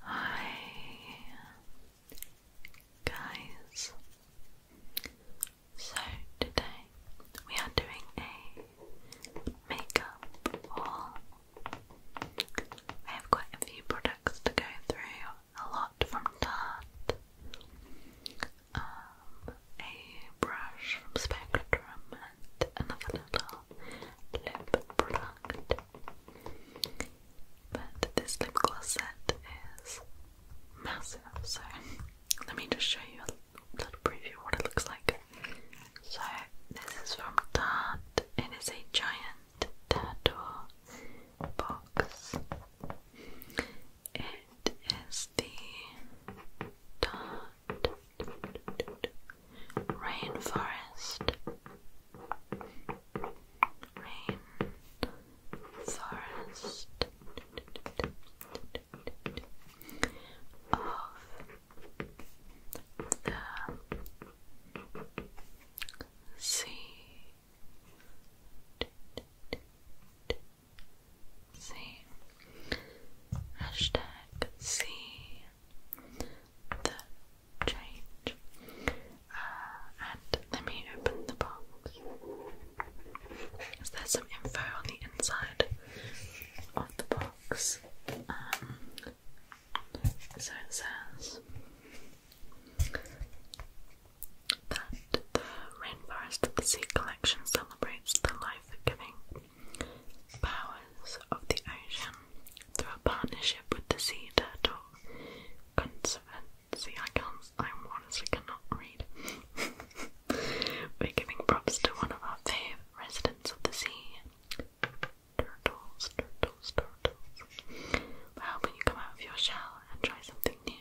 Hi guys. So today we are doing a makeup haul. I have quite a few products to go through, a lot from Tarte, um, a brush from Spectrum and another little lip product. But this lip gloss set is massive, so let me just show you a little preview of what it looks like. So, this is from Tarte, it is a giant turtle box. It is the Tarte Rainforest rain, of the sea. See, hashtag see the change. Uh, and let me open the box. Is there some info on the inside of the box? Um, so it says that the Rainforest of the Sea collection celebrates the life-giving powers of the ocean through a partnership with the sea turtle Conservancy. I I honestly cannot read. We're giving props to one of our favourite residents of the sea. Turtles, turtles, turtles. We're helping you come out of your shell and try something new.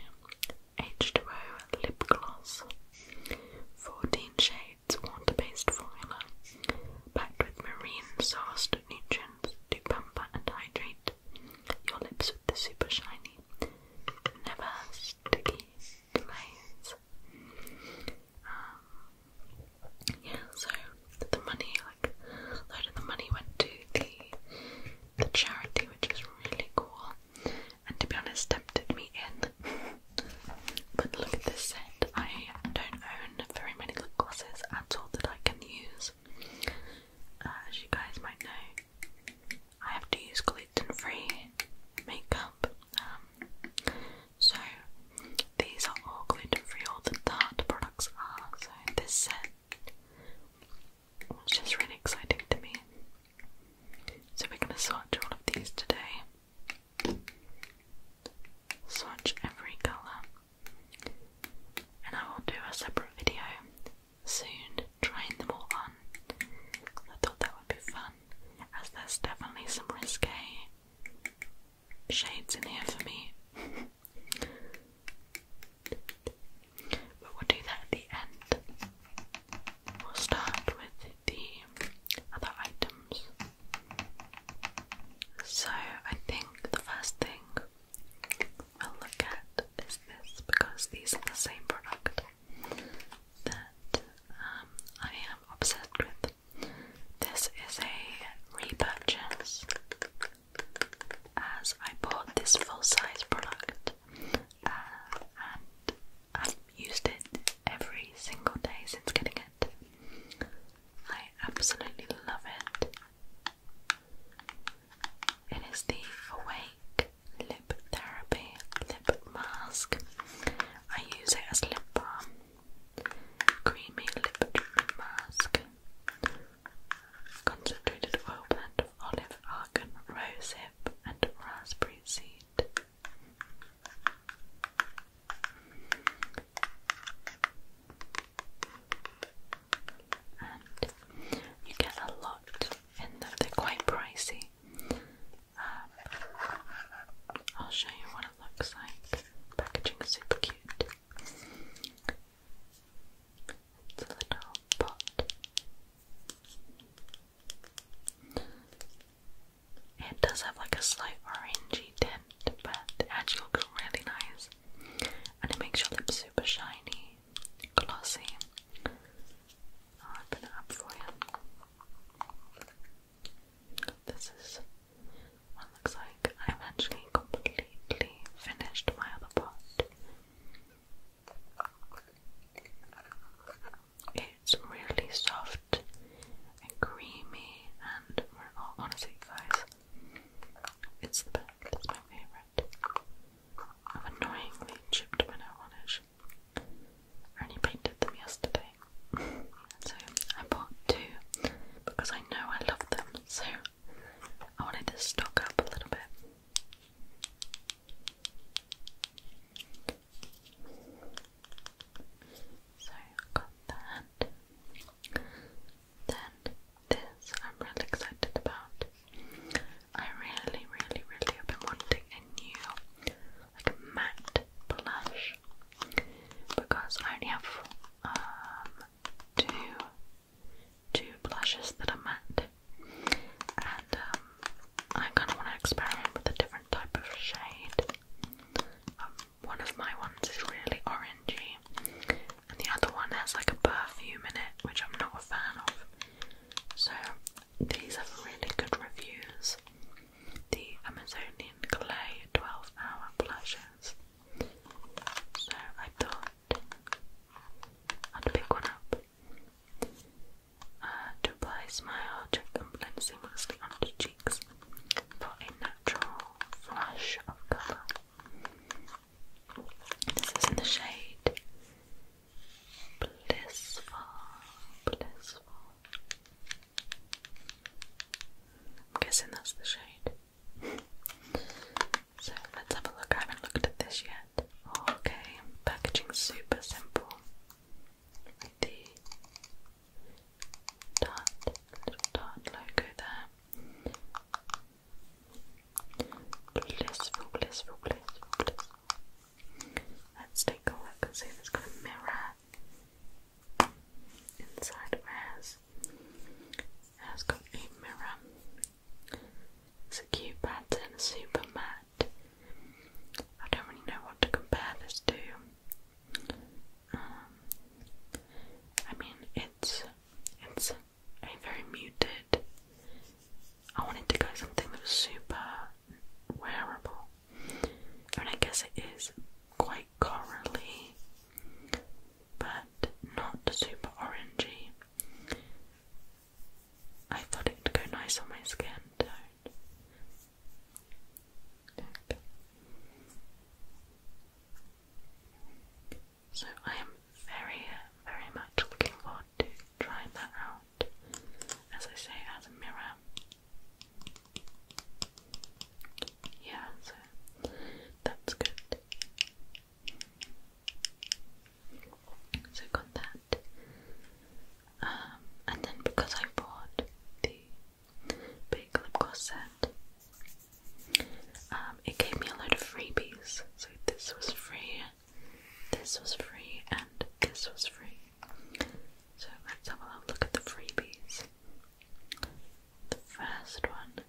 H2O lip gloss. 14 shades water-based formula. Packed with marine sourced to pamper and hydrate your lips with the super shiny, never sticky glaze. Um, yeah, so the money, like a load of the money went to the charity, which is really cool. And to be honest, tempted me in. but look at this set. I don't own very many lip glosses at all that I can use. Uh, as you guys might know, I have to use gluten-free makeup. Um, so these are all gluten-free, all the Tarte products are. So this set was just really exciting to me. So we're gonna swatch all of these today swatch every colour. And I will do a separate video soon trying them all on. I thought that would be fun, as there's definitely some risque shades in here for me. but we'll do that at the end. We'll start with the other items. So, I think the first thing we look at is this because these are the same product that um, I am obsessed with. This is a repurchase as I bought this full-size product uh, and i used it every single day since getting it. I absolutely love it. It is the Awake Lip Therapy Lip Mask. I use it as lip balm. Creamy lip mask. Concentrated oil blend of olive, argan, rosehip, and raspberry seed and you get a lot in they're quite pricey. Um, I'll show you what it looks like. Packaging is super cute. little pot. It does have like a slight orangey tint, but it actually looks really nice and it makes your lips super shiny, glossy. I'll open it up for you. This is what it looks like. I've actually completely finished my other pot. It's really soft and creamy, and honestly, guys, it's the best. That's my favourite. I've annoyingly chipped my varnish. I painted them yesterday. so I bought two because I know I love them, so I wanted to stock up a little bit. So I got that then this I'm really excited about. I really, really, really have been wanting a new, like a matte blush because I only have um, two two blushes that are matte, and um, I kind of want to experiment with a different type of shade. Um, one of my ones is really orangey, and the other one has like a perfume in it, which I'm not a fan of. So these have really good reviews. The Amazonian Clay 12 Hour Blushes. So I thought I'd pick one up. Uh, to apply smile, and blend seamlessly onto cheeks for a natural flush of colour. This is in the shade Blissful. Blissful. I'm guessing that's the shade. so let's have a look. I haven't looked at this yet. Okay, packaging super simple. The Dot, little dot logo there. Blissful, blissful, blissful, blissful. Let's take a look and see it's got a mirror inside of hers. It has got a mirror. It's a cute pattern, super matte. I don't really know what to compare this to. Um, I mean, it's it's and very muted. I wanted to go something that was super wearable, and I guess it is quite corally, but not super orangey. I thought it would go nice on my skin tone. So I am very, very much looking forward to trying that out. As I say, as a mirror. Yeah, so that's good. So got that. Um, and then because I bought the big lip gloss set, um, it gave me a load of freebies. So this was free, this was free, and this was free. So let's have a look at the freebies. The first one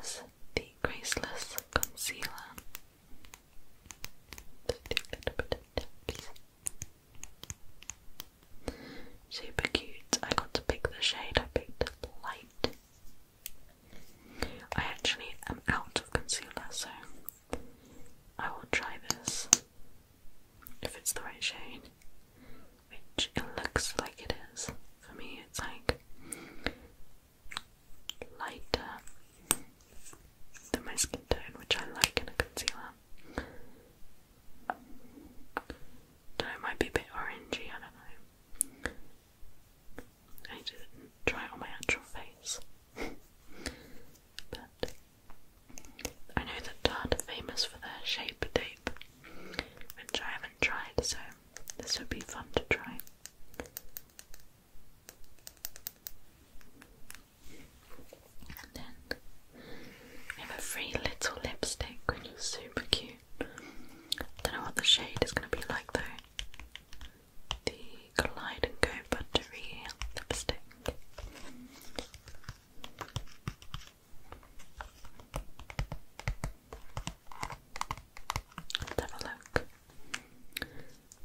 is the Graceless Concealer. Super cute. I got to pick the shade. I picked light. I actually am out of concealer, so I will try this if it's the right shade, which it looks like it is. For me, it's like lighter than my skin tone, which I like in a concealer. do might be a bit orangey, I don't know. I didn't try it on my actual face. but I know that Tarte famous for their shape tape, which I haven't tried, so this would be fun to try. And then I have a free little lipstick, which is super cute. Don't know what the shade is gonna be like though. The Glide and Go Buttery lipstick. have a look.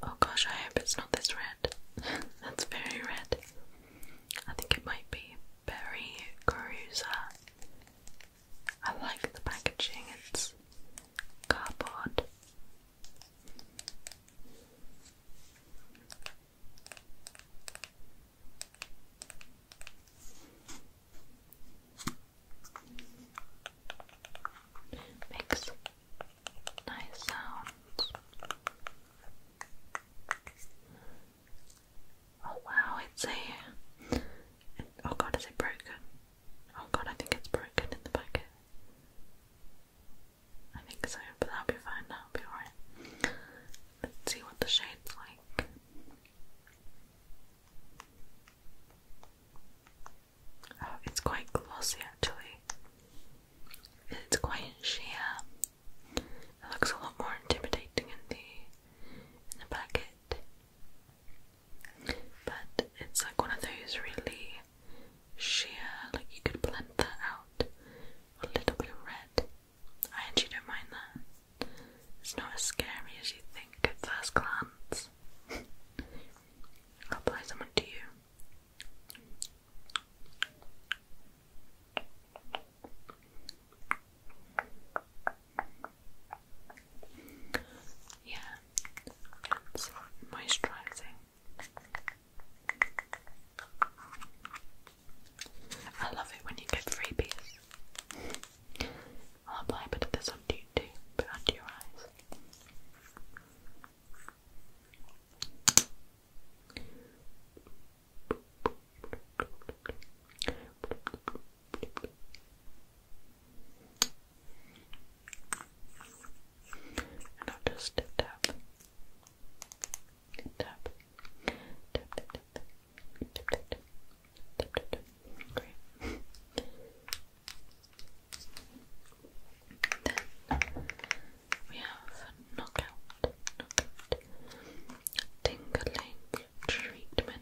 Oh gosh, I hope it's not this red. That's very red. I think it might be Berry Cruiser. I like the packaging, it's cardboard. Makes nice sounds. Oh wow, it's a. It, oh god, is it broken? Oh god, I think it's broken in the packet. I think so, but that'll be fine, that'll be alright. Let's see what the shade's like. Oh, it's quite glossy actually. It's quite sheer. It looks a lot more intimidating in the in the packet. But it's like one of those really sheer, like you could blend that out. A little bit of red. I actually don't mind that. It's not as scary as you think at first glance. I'll apply someone to you. Yeah, moisturizing. I love it when you get freebies. I'll apply a bit of this onto you too, but under your eyes. And I'll just tap, tap, tap, tap, tap, tap, tap, tap, tap, Great. Then we have knockout, knockout, tingling treatment.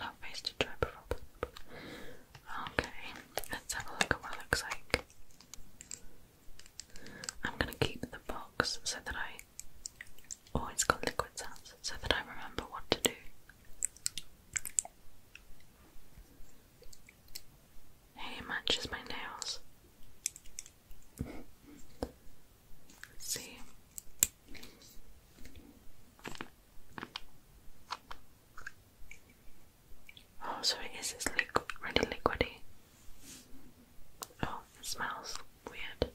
Not face to Okay, let's have a look at what it looks like. I'm gonna keep the box so that I. Oh, it's got liquid sounds, so that I remember what to do. Hey, matches my nails. Let's see. Oh, sorry. it is, it's liquid, really liquidy. Oh, it smells weird.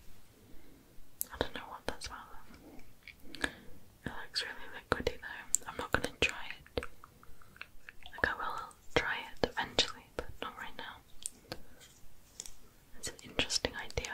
I don't know what that smells of. It looks really liquidy though. I'm not gonna try it. Like I will try it eventually, but not right now. It's an interesting idea.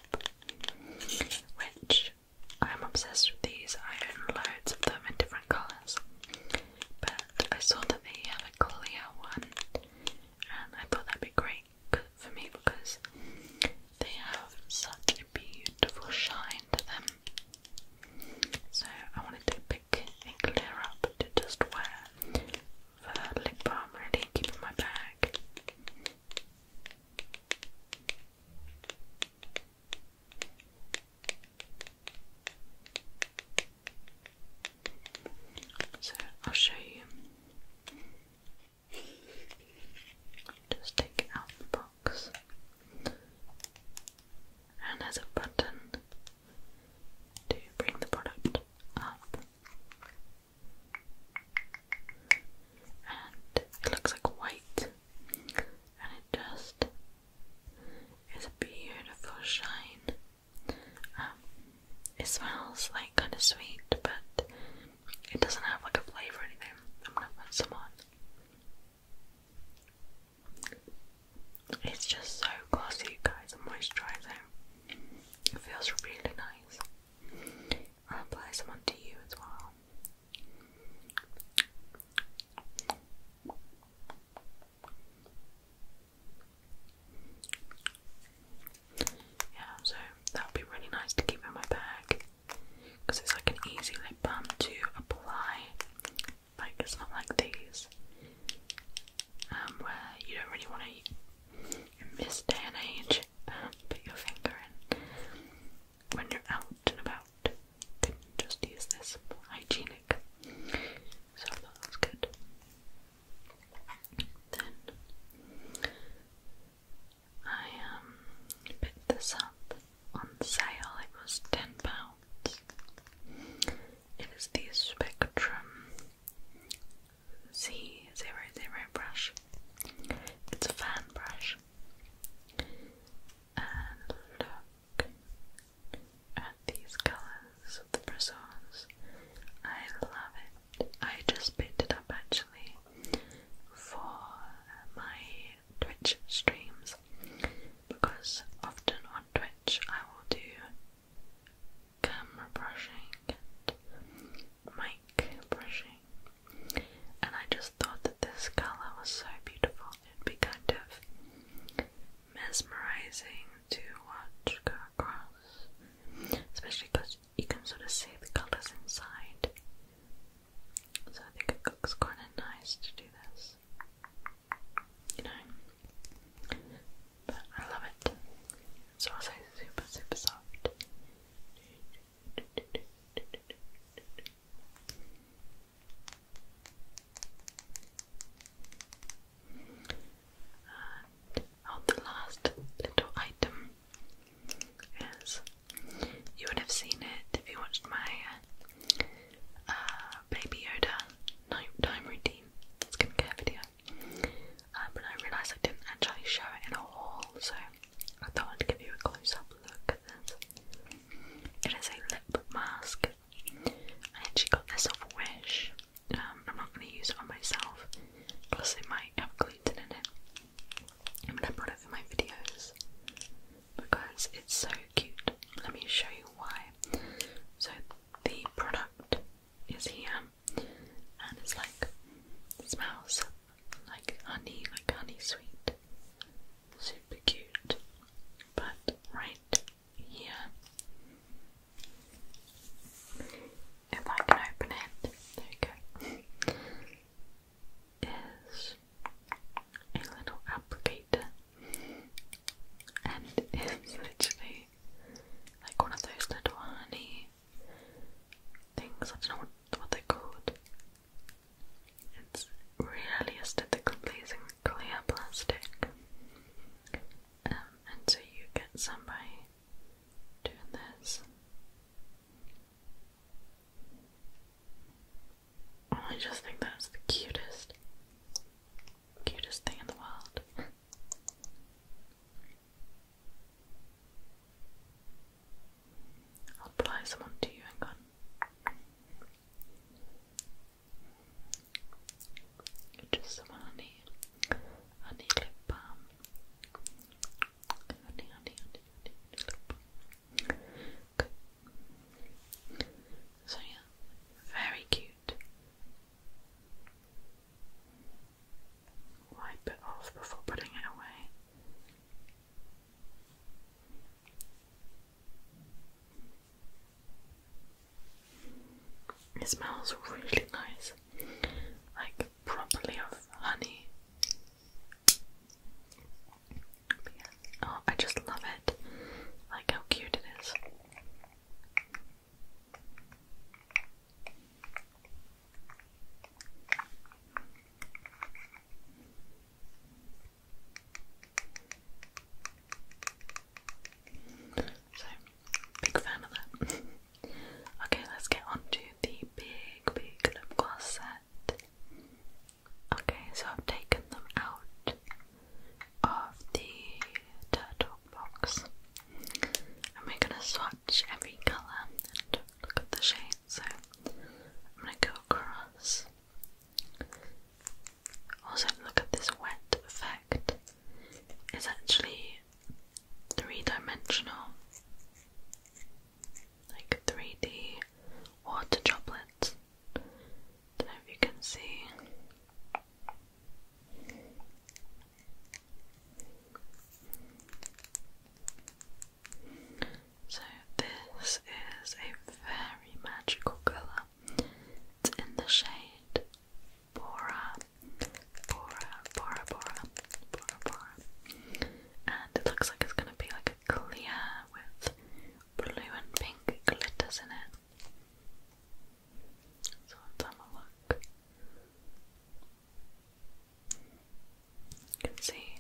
which I'm obsessed with these. I own loads of them in different colours. But I saw that they have a clear one and I thought that'd be great for me because they have such a beautiful shine to them. So I wanted to pick a clear up to just wear for lip balm really keep in my bag. So I'll show you. Just take it out of the box, and there's a button to bring the product up and it looks like white and it just is a beautiful shine. Um, it smells like kind of sweet, but it doesn't have like a flavour or anything. I'm gonna put some on. It's just so glossy, guys, and moisturising. It feels really nice. I apply some onto you as well. Yeah, so that would be really nice to keep in my bag because it's like an easy lip balm to apply. Like, it's not like these um, where you don't really want to in this age, um, put your finger in when you're out and about. just use this hygienic. So I thought that was good. Then I um this up on sale. It was ten pounds. It is the Spectrum C00 brush. It's a fan brush. And look at these colours of the bristles. I love it. I just picked up actually for my Twitch streams because often on Twitch I will do camera brushing and brushing, and I just thought that this color was so beautiful. It'd be kind of mesmerizing to watch go across, especially because you can sort of see the colors inside. So I think it looks kind of nice to do this, you know. But I love it. It's also super super soft. And the last little item is you would have seen it if you watched my uh, Baby Yoda nighttime routine skincare video, uh, but I realised I didn't actually show it in a so I thought I'd give you a close up look It is a lip mask. and she got this off Wish. Um, I'm not going to use it on myself, plus, it might have gluten in it. I'm it in my videos because it's so cute. Let me show you why. So, the product is here and it's like smells like honey, like honey sweet. Super cute. But right here, if I can open it, there you go, is a little applicator and it's literally like one of those little honey things. I don't know what, they're called. It's really aesthetically pleasing clear plastic. Um, and so you get some doing this. Oh, I just think that's the cutest, cutest thing in the world. I'll apply some onto you, and go. Just some honey, honey lip balm. Honey, honey, honey, honey, lip balm. So yeah, very cute wipe it off before putting it away. It smells really nice, like properly of honey. Oh, I just love it. Like how cute it is. So, big fan of that. okay, let's get on to the big, big lip gloss set. Okay, so I've taken them out of the turtle box and we're gonna swatch every colour and look at the shades. So, I'm gonna go across. Also, look at this wet effect. It's actually three dimensional, like 3D water droplets. Don't know if you can see. So, this is a very magical colour. It's in the shade Bora, Bora, Bora, Bora, Bora, Bora. And it looks like it's going to be like a clear with blue and pink glitters in it. So let's have a look. You can see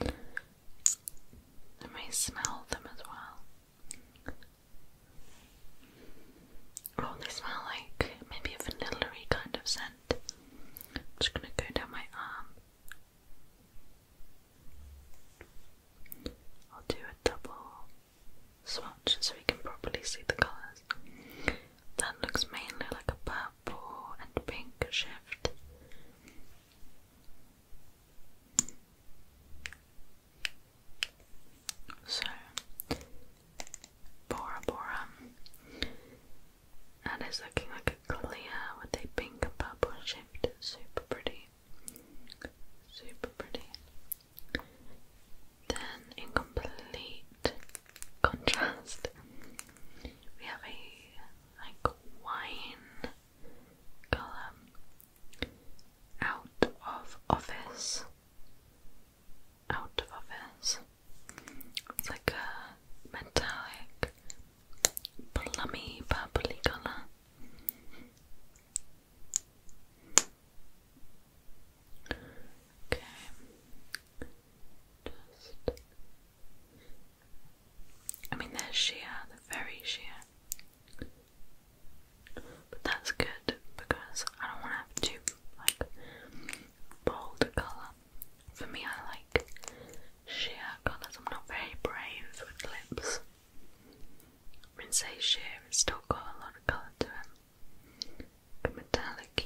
I may smell them as well. Oh, they smell like maybe a vanilla kind of scent. I'm just gonna go down my arm. I'll do a double swatch so we can properly see the colours. That looks mainly like a purple and pink shift. So, Bora Bora. And looking like a clear with a pink purple shift. Super pretty. Super pretty. Then, in contrast. We have a like wine column out of office. Out of office. It's like a metallic plummy purpley colour. Okay, just I mean they're sheer, the very sheer. But that's good because I don't want to have too like bold colour. For me I like sheer colours. I'm not very brave with lips. I mean say sheer, it's still got a lot of colour to it metallic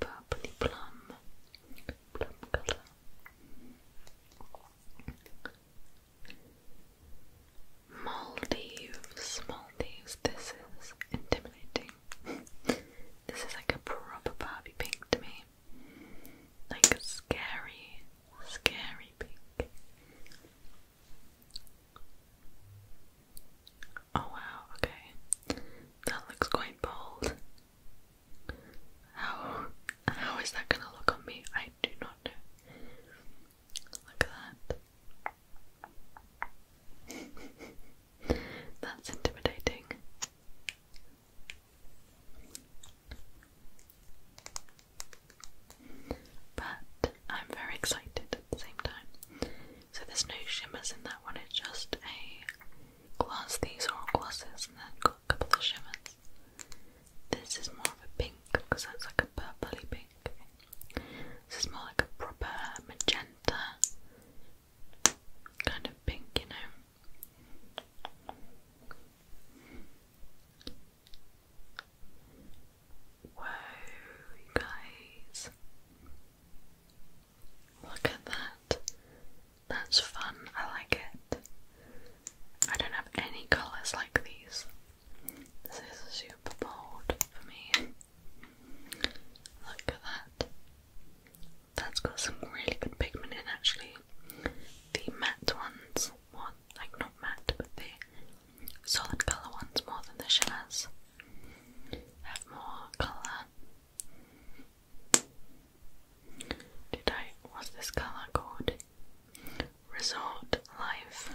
purpley plum, plum colour. Maldives, Maldives, this is intimidating. this is like a proper Barbie pink to me. Like a scary, scary pink. Oh wow, okay. That looks quite bold. How how is that gonna look on me? I do not know. Look at that. That's intimidating. But I'm very excited at the same time. So there's no shimmers in that one, it's just a glass these are glasses and then got a couple of shimmers. This is more of a pink because that's like a purpley pink. This is more like a proper magenta kind of pink, you know. Whoa, guys. Look at that. That's fun. I like it. I don't have any colours like these. This is super bold for me. Look at that. That's got some really good pigment in actually. The matte ones, more, like not matte, but the solid colour ones more than the shimmers have more colour. Did I? What's this color called? Resort Life.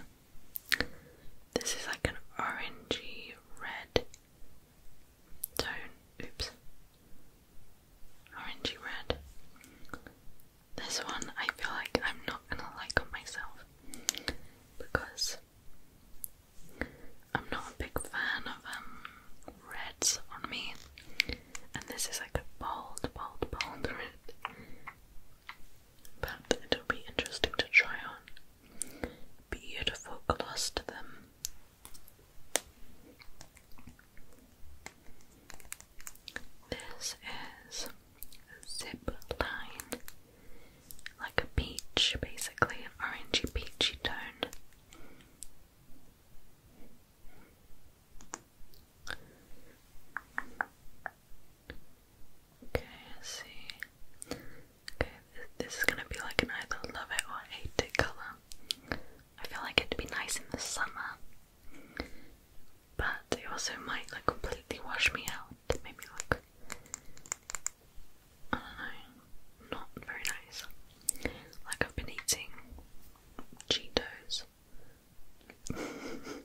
This is like an orangey red tone. Oops. Orangey red. This one I feel like I'm not gonna like myself because I'm not a big fan of um reds on me, and this is like a bold, bold, bold red. But it'll be interesting to try on. Beautiful gloss to them. This is a like a peach, basically an orangey peachy tone. Okay, I see. Okay, this, is gonna be like an either love it or oh, hate it colour. I feel like it'd be nice in the summer, but it also might like completely wash me out. Maybe look, I don't know, not very nice. Like I've been eating Cheetos. Um,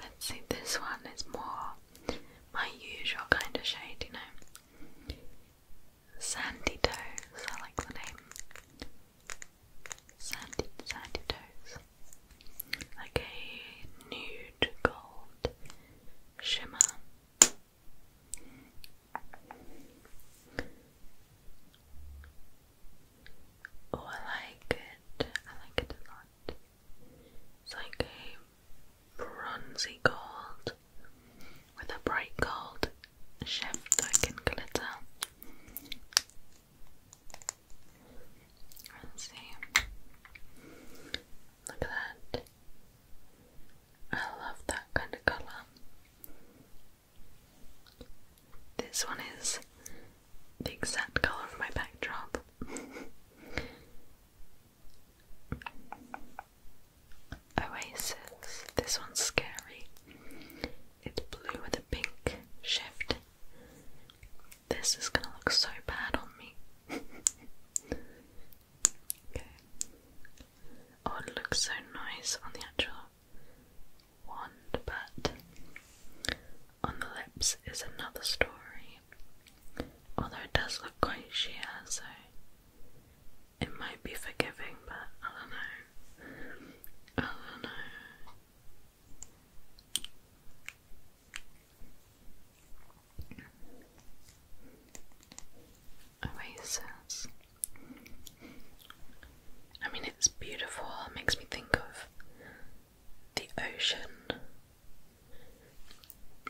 let's see, this one is more my usual kind of shade, you know. Sandy Toes, I like the name. Sandy, sandy Toes. Like a nude gold shimmer. Oh, I like it. I like it a lot. It's like a bronzy gold with a bright gold shift that can glitter. Let's see. Look at that. I love that kind of colour. This one is the exact colour of my backdrop. Oasis. This one's scary. It's blue with a pink shift. This is gonna look so bad on me. okay. Oh, it looks so nice on the actual wand, but on the lips is another story. Although it does look quite sheer, so it might be forgiving, but I don't know. I don't know. Oasis. I mean, it's beautiful, it makes me think of the ocean,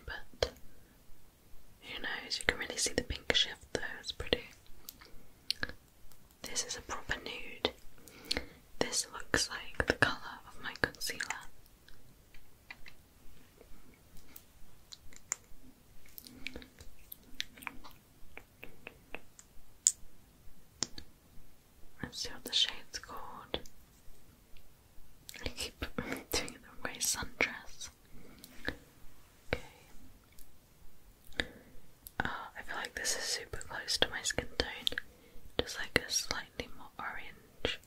but who knows? You can really see the pink shift though, it's pretty. This is a proper nude. This looks like the colour of my concealer. Let's see what the shade's called. I keep doing the wrong sundress. Okay. Uh, I feel like this is super close to my skin tone. Just like a slightly more orange.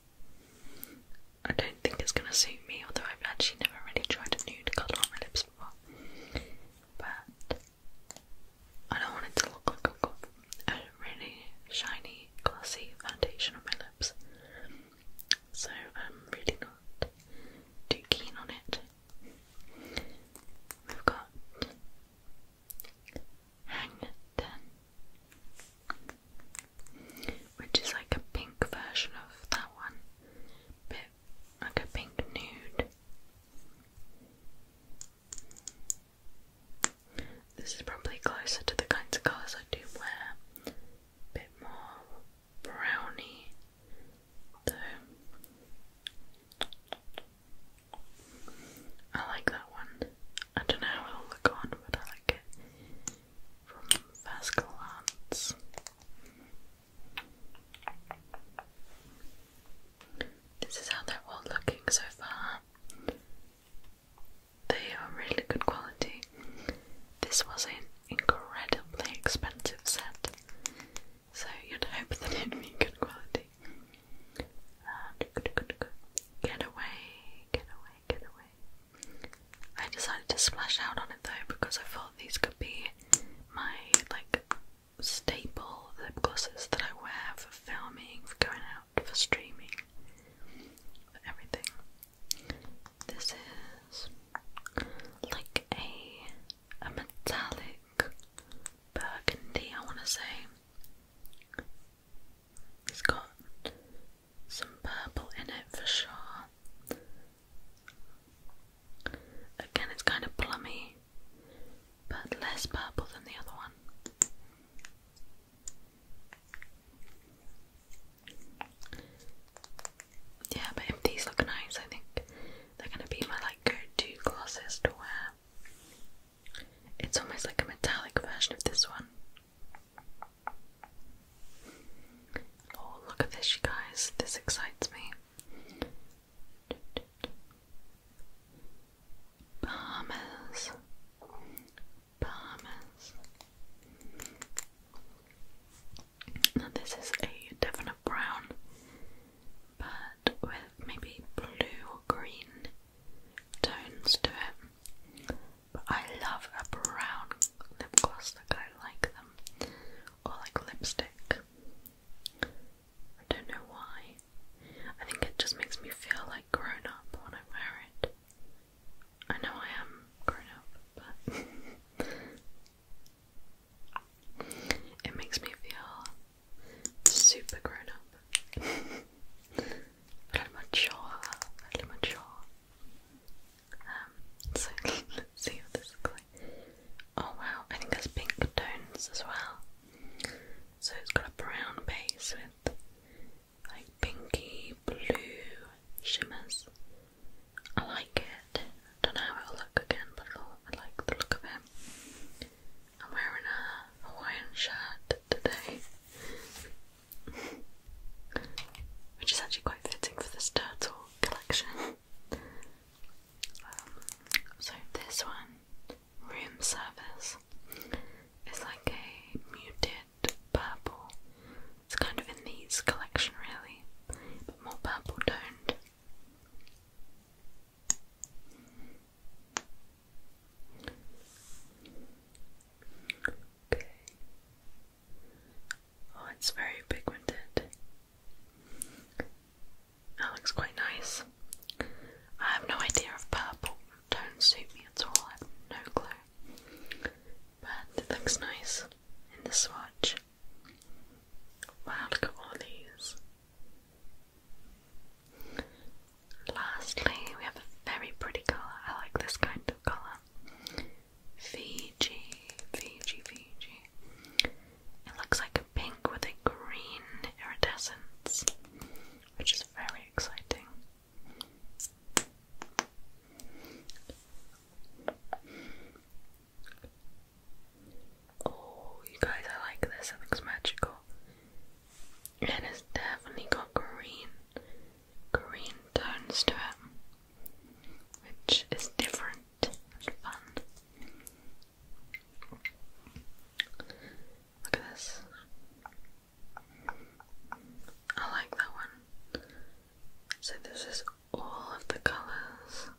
I don't think it's gonna suit me, although I've actually never really tried a nude nude colour on my lips before, but I don't want it to look like a really shiny, glossy foundation on my lips. So I'm really not too keen on it. We've got Hang Ten, which is like a pink version of that one, like a pink nude. This is probably closer to the kinds of colours I do wear. A bit more browny, though. I like that one. I don't know how it'll look on, but I like it from first this is how they're all looking so far. They are really good quality. This was an incredibly expensive set, so you'd hope that it'd be good quality. And um, get away, get away, get away. I decided to splash out on it though because I thought these could be my like staple lip glosses that I wear for filming, for going out, for streaming, for everything. This is like a a metallic burgundy, I want to say. It's got some purple in it for sure. Again, it's kind of plummy, but less purple than the other one. Yeah, but if these look nice, I think they're gonna be my like go-to glosses to wear. It's almost like a metallic version of this one. Oh, look at this, you guys. This excites me. Bahamas. Bahamas. Now, this is a definite brown, but with maybe blue or green tones to it. But I love a brown lip gloss, like I like them or like lipstick. I don't know why. I think it just makes me feel like grown up when I wear it. I know I am grown up, but it makes me feel super grown up. mature, mature. Um, let's see what this looks like. Oh wow, I think there's pink tones as well. So it's got a brown base with like pinky blue shimmers. I like it. Don't know how it'll look again, but I like the look of it. I'm wearing a Hawaiian shirt today. Which is actually quite fitting for this turtle collection. Um, so this one, room service, is like a muted purple. It's kind of in these collection really, but more purple toned. Okay. Oh, it's very pigmented. That looks quite nice. I have no idea if purple don't suit me at all, I have no clue. But it looks nice in the swatch. Wow, look at all these. Lastly, we have a very pretty colour. I like this kind of colour. Fiji, Fiji, Fiji. It looks like a pink with a green iridescence, which is very exciting. Oh, you guys, I like this. It looks magical. And it's definitely got green, green tones to it, which is different fun. Look at this. I like that one. So, this is all of the colours.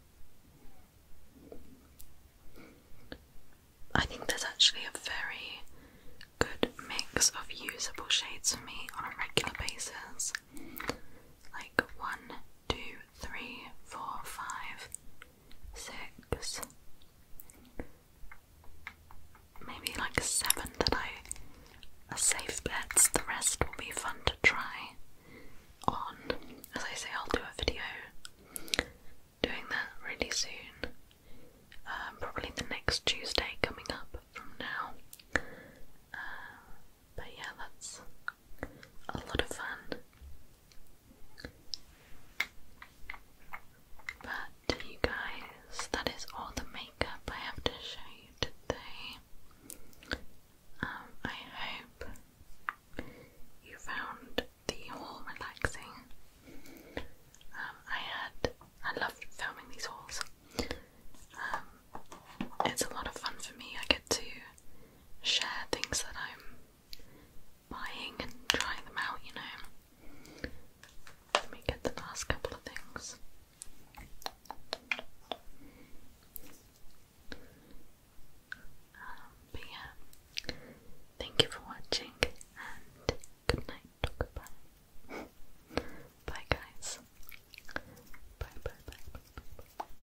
I think there's actually a very good mix of usable shades for me on a regular basis. Like one, two, three, four, five, six, maybe like seven that I safe bets. The rest will be fun to try on. As I say, I'll do a video doing that really soon. Um, probably the next Tuesday coming up from now. Um, but yeah, that's a lot of fun. But you guys, that is all the makeup I have to show you today. Um, I hope you found the haul relaxing. Um, I had I loved filming these hauls. Um, it's a lot of fun for me. I get to share things that I'm buying and trying them out, you know. Let me get the last couple of things. Um, but yeah, thank you for watching and good night. Goodbye. bye, guys. Bye, bye, bye, bye, bye. bye.